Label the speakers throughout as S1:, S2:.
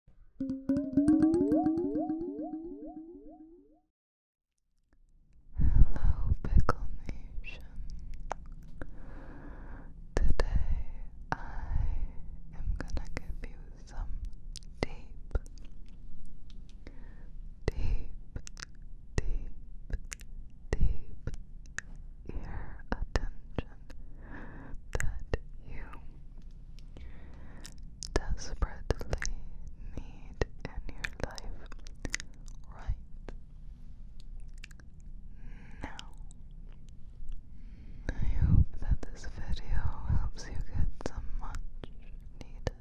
S1: Hello, Pickle Nation. Today I am gonna give you some deep, deep, deep, deep ear attention that you desperately need in your life right now. I hope that this video helps you get some much needed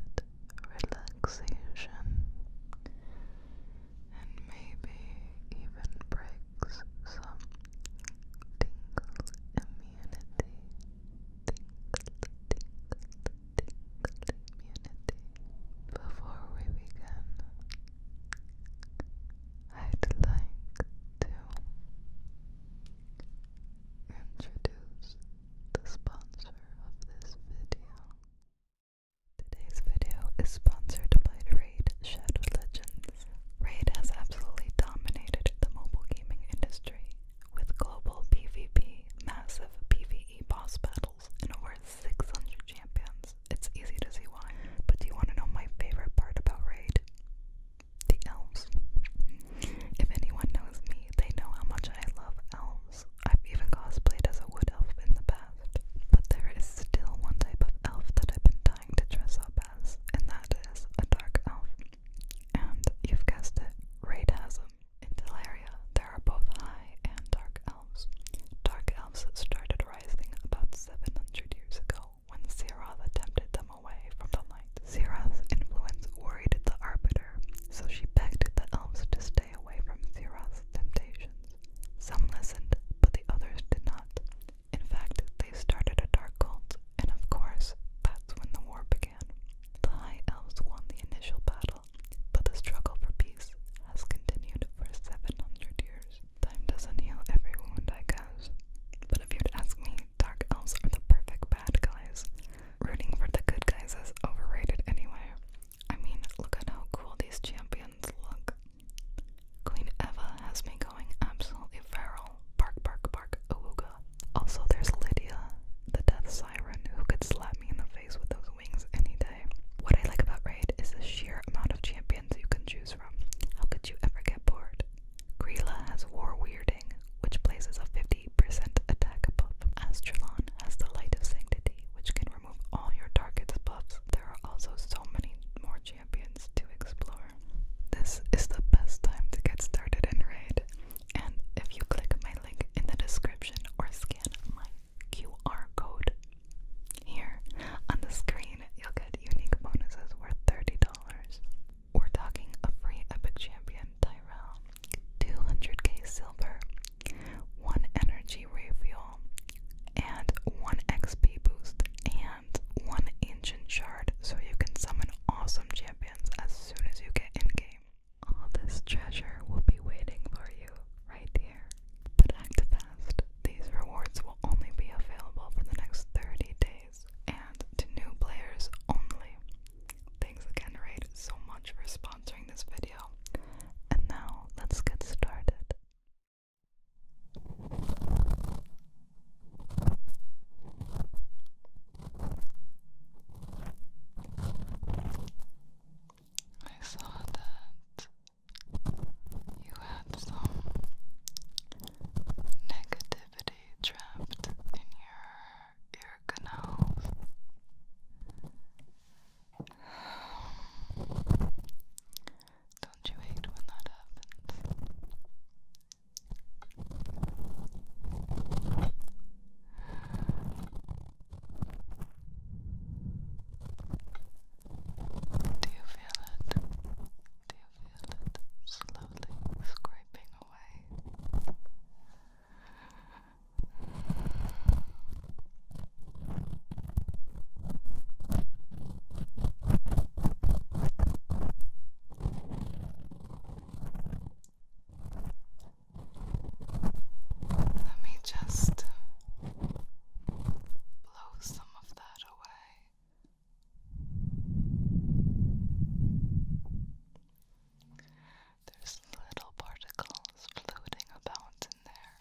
S1: relaxation and maybe even breaks some tingle immunity, Before we begin, I'd like to introduce the sponsor of this video. Today's video is sponsored by Raid Shadow Legends. Raid has absolutely dominated the mobile gaming industry with global PvP, massive PvE boss battles, and over 600 champions. It's easy to see why. But do you want to know my favorite part about Raid? The elves. If anyone knows me, they know how much I love elves. I've even cosplayed as a wood elf in the past. But there is still one type of elf that I've been dying to dress up as, and that is a dark elf. And you've guessed it, Raidasm. In Delaria, there are both high and dark elves. Dark elves started rising about 700 years ago when Siroth tempted them away from the light. Siroth's influence worried the Arbiter, so she begged the elves to stay away from Siroth's temptations. Some listened, but the others did not. In fact, they started a dark cult, and of course, that's when the war began. The High Elves won the initial battle, but the struggle for peace has continued for 700 years. Time doesn't heal every wound, I guess. But if you'd ask me, Dark Elves are the perfect bad guys. Rooting for the good guys is overrated anyway. I mean, look at how cool these champions look. Queen Eva has me going absolutely feral. Bark, bark, bark, awooga. Also, there's Lydia, the death siren, who could slap me in the face with those wings any day. What I like about Raid is the sheer amount of champions you can choose from. How could you ever get bored? Grilla has War Weirding, which places a 50% attack buff. Astralon has the Light of Sanctity, which can remove all your target's buffs. There are also so many more champions to explore this is the best time to get started in Raid. And if you click my link in the description or scan my QR code here on the screen, you'll get unique bonuses worth $30. We're talking a free Epic Champion Tyrell, 200k silver, 1 energy refuel, and 1 XP boost, one ancient shard so you can summon awesome champions as soon as you get in game. All this treasure will be waiting for you right here. But act fast, these rewards will only be available for the next 30 days and to new players only. Thanks again, Raid, so much for sponsoring this video. And now let's get started. I saw that you had some negativity trapped in your ear canals. Don't you hate when that happens? Do you feel it? Do you feel it slowly scraping away? Just let me just blow some of that away. There's little particles floating about in there.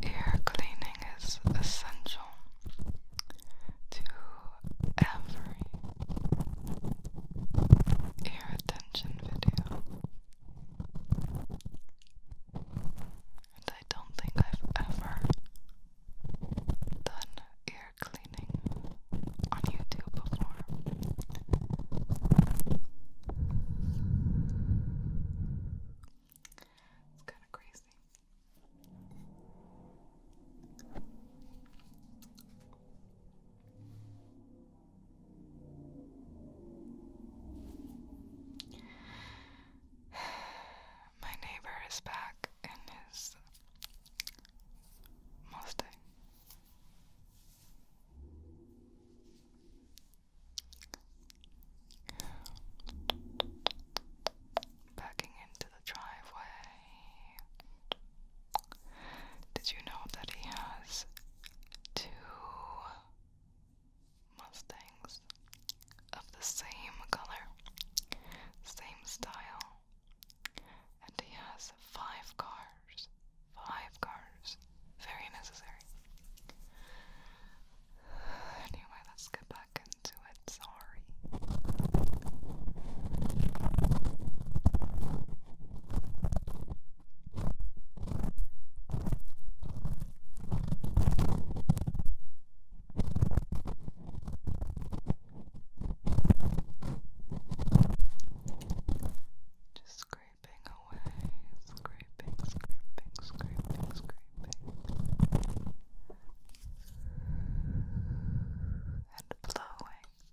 S1: Ear cleaning is essential to every ear attention video. And I don't think I've ever done ear cleaning on YouTube before. It's kind of crazy. My neighbor is back in his Mustang. Backing into the driveway. Did you know that he has two Mustangs of the same color, same style, and he has five cars? Five cars. Very necessary. Anyway, let's get back into it. Sorry. Just scraping away, scraping, scraping, scraping, scraping, and blowing.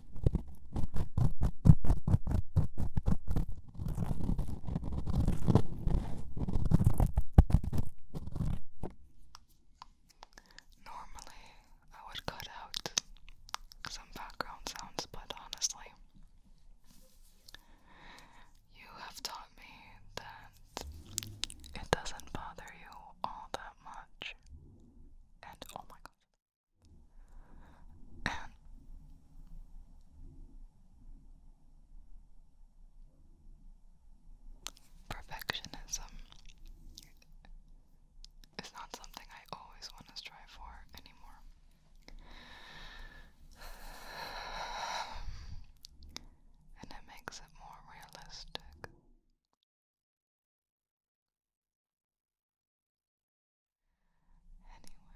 S1: Normally, I would cut out some background sounds, but honestly, you have taught me that it doesn't bother you all that much. And oh my god perfectionism is not something I always want to strive for anymore. And it makes it more realistic. Anyway,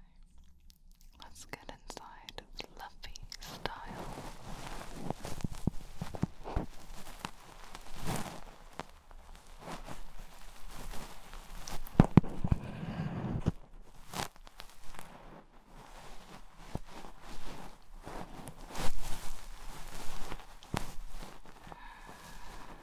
S1: let's get inside fluffy style.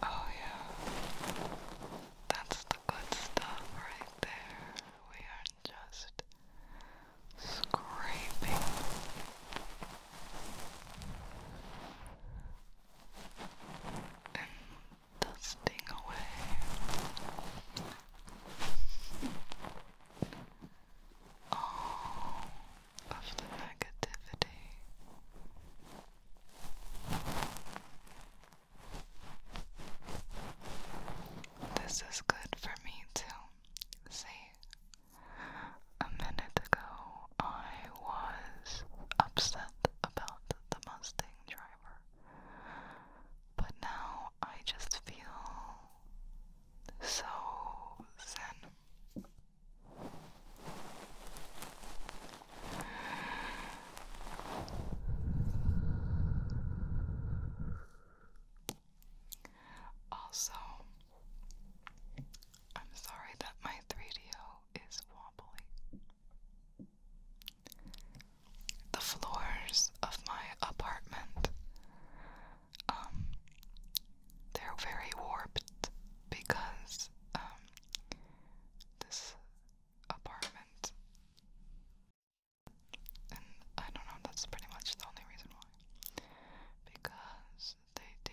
S1: Oh, yeah, that's the good stuff right there. We are just scraping and dusting away all of the negativity. This is good for me too. See, a minute ago, I was upset about the Mustang driver, but now I just feel so zen. Also, I'm sorry that my 3DO is wobbly. The floors of my apartment, um, they're very warped because, um, this apartment, and I don't know, that's pretty much the only reason why. Because they do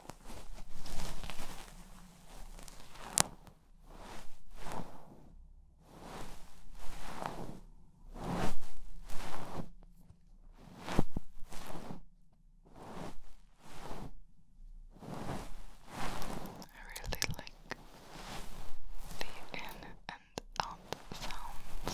S1: I really like the in and out sounds.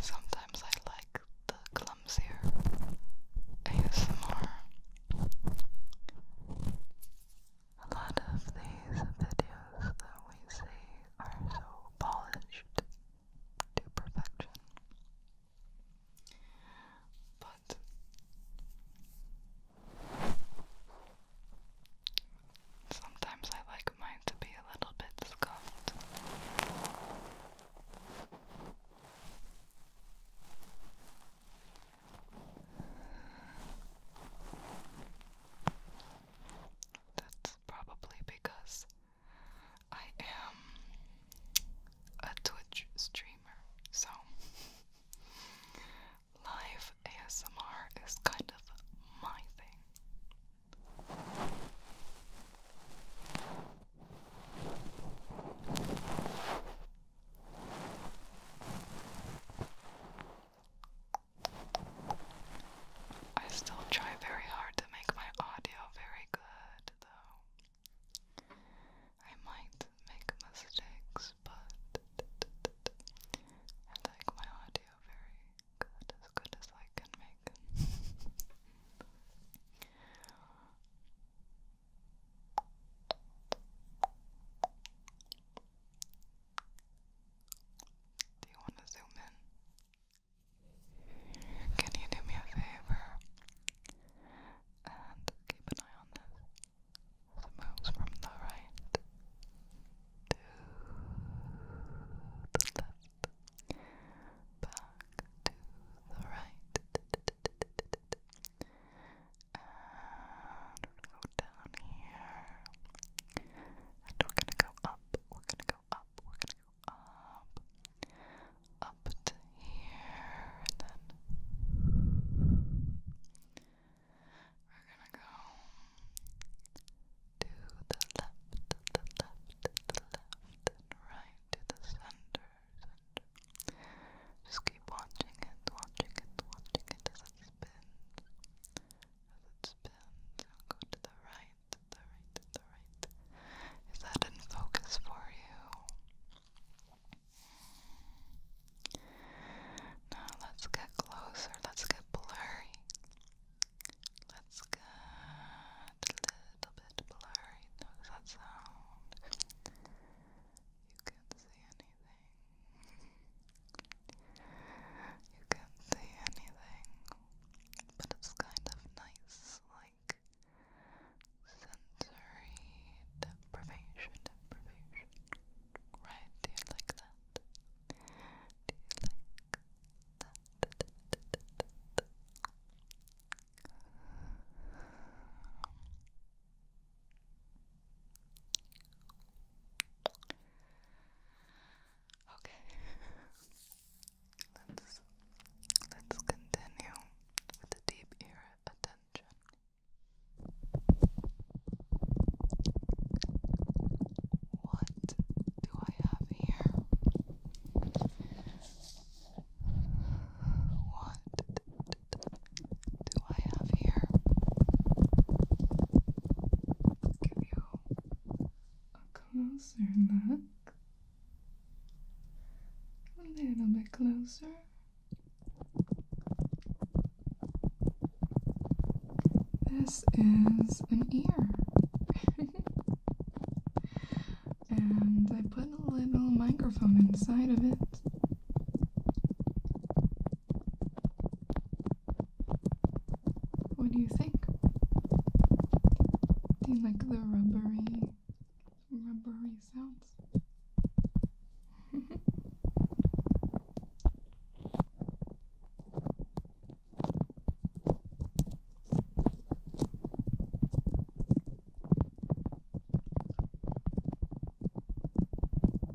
S1: Sometimes I like the clumsier ASMR. A lot of these videos that we see are so polished to perfection. But sometimes I like mine to be a little bit scuffed. That's probably because I am a Twitch streamer, so live ASMR is kind of my thing. I still try very hard to make my audio very good, though. I might make mistakes, but I like my audio very good, as good as I can make do you want to zoom in? Can you do me a favor and keep an eye on this? it moves from the right to the left, back to the right, and down here. And we're gonna go up, we're gonna go up, we're gonna go up, up here, and then we're gonna go to the left, the left, the left, and right to the center, Just keep watching it, watching it, watching it as as it spins, go to the right, the right, the right. Is that in focus for you? Now let's get closer. Let's get blurry. Let's get a little bit blurry. Notice that sound. You can't see anything. You can see anything, but it's kind of nice, like sensory deprivation, Right? Do you like that? Okay. let's let's continue with the deep ear attention. What do I have here? What do I have here? a closer look. A little bit closer. This is an ear. and I put a little microphone inside of it. What do you think? Do you like the rubbery, rubbery sounds?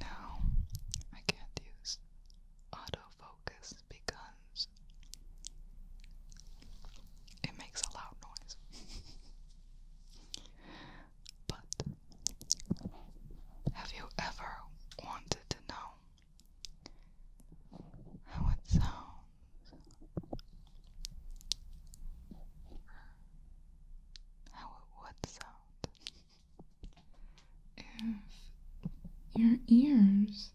S1: Now, I can't use autofocus because it makes a loud noise. but have you ever wanted to know how it sounds? How it would sound if your ears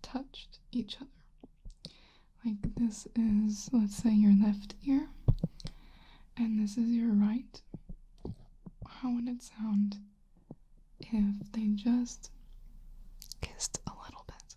S1: touched each other. Like this is, let's say, your left ear, and this is your right. How would it sound if they just kissed a little bit?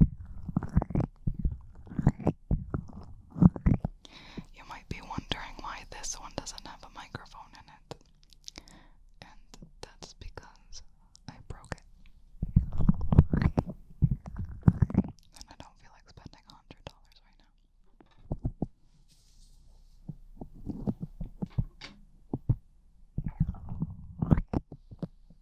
S1: You might be wondering why this one doesn't have a microphone in it, and that's because I broke it. And I don't feel like spending $100 right now.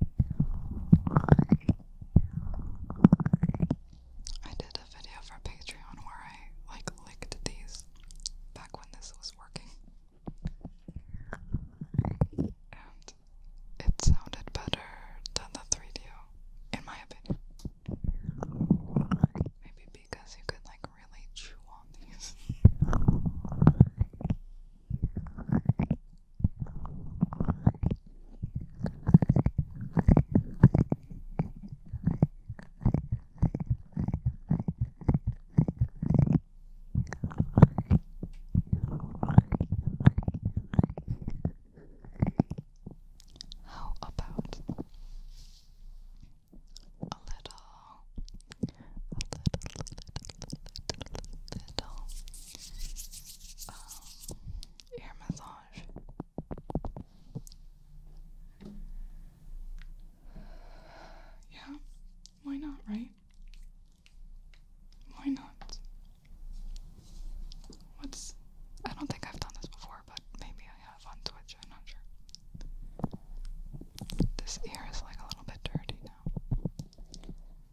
S1: I did a video for Patreon where I like licked these back when this was working. And it sounded better than the 3 d in my opinion. Maybe because you could like really chew on these. How about a little, a little, little, little, little, little um, ear massage. Yeah, why not, right? Why not? What's. I don't think I've done this before, but maybe I have on Twitch, I'm not sure. This ear is like a little bit dirty now.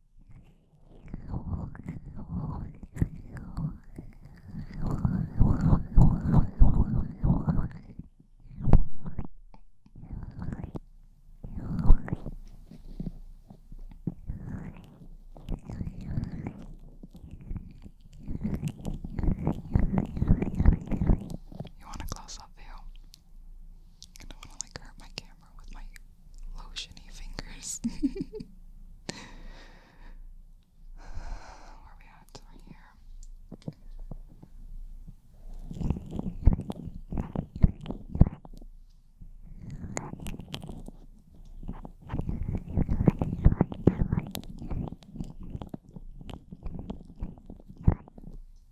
S1: You want a close up view? I don't want to like hurt my camera with my lotiony fingers. Where we at? Right here.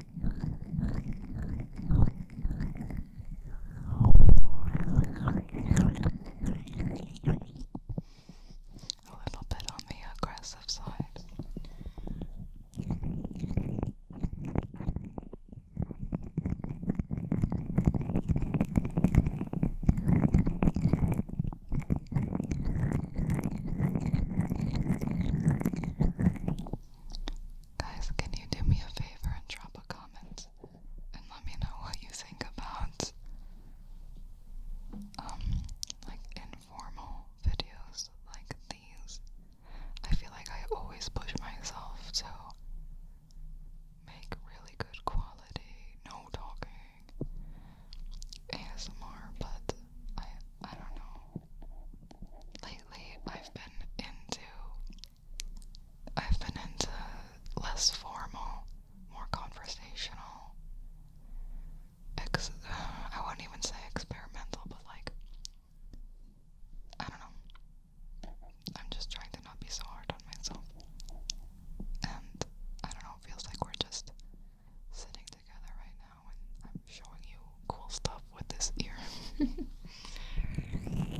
S1: A little bit on the aggressive side. Guys, can you do me a favor and drop a comment and let me know what you think about um, like informal videos like these? I feel like I always push myself so make really good quality, no talking ASMR, but I I don't know. Lately I've been into I've been into less formal, more conversational. Uh, I wouldn't even say experimental, but like I don't know. I'm just trying to not be so hard on myself. And I don't know, it feels like we're just sitting together right now now and I'm showing you cool stuff with this ear.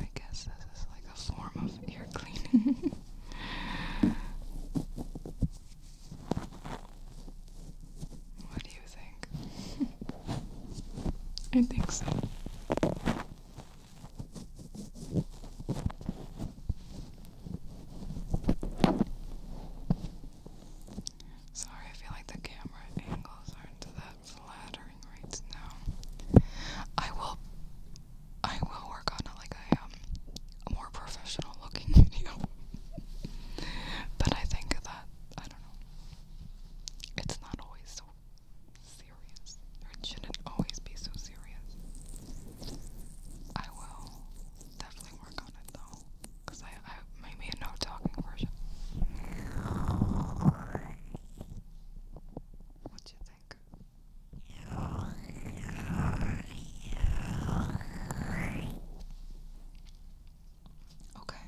S1: I guess this is like a form of ear cleaning. what do you think? I think so. Sorry, I feel like the camera angles aren't that that's right now. I will I will work on a, like a, um, more professional looking video. but I think that I don't know. It's not always so serious. it shouldn't always be so serious. I will definitely work on it though. Cause I, I made a no talking version. What do you think? Okay.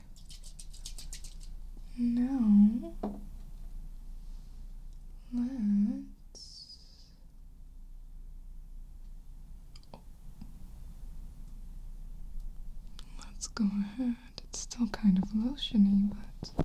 S1: Now let's Let's go ahead it's still kind of lotiony, but.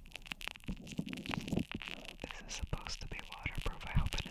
S1: This is supposed to be waterproof, I hope it is.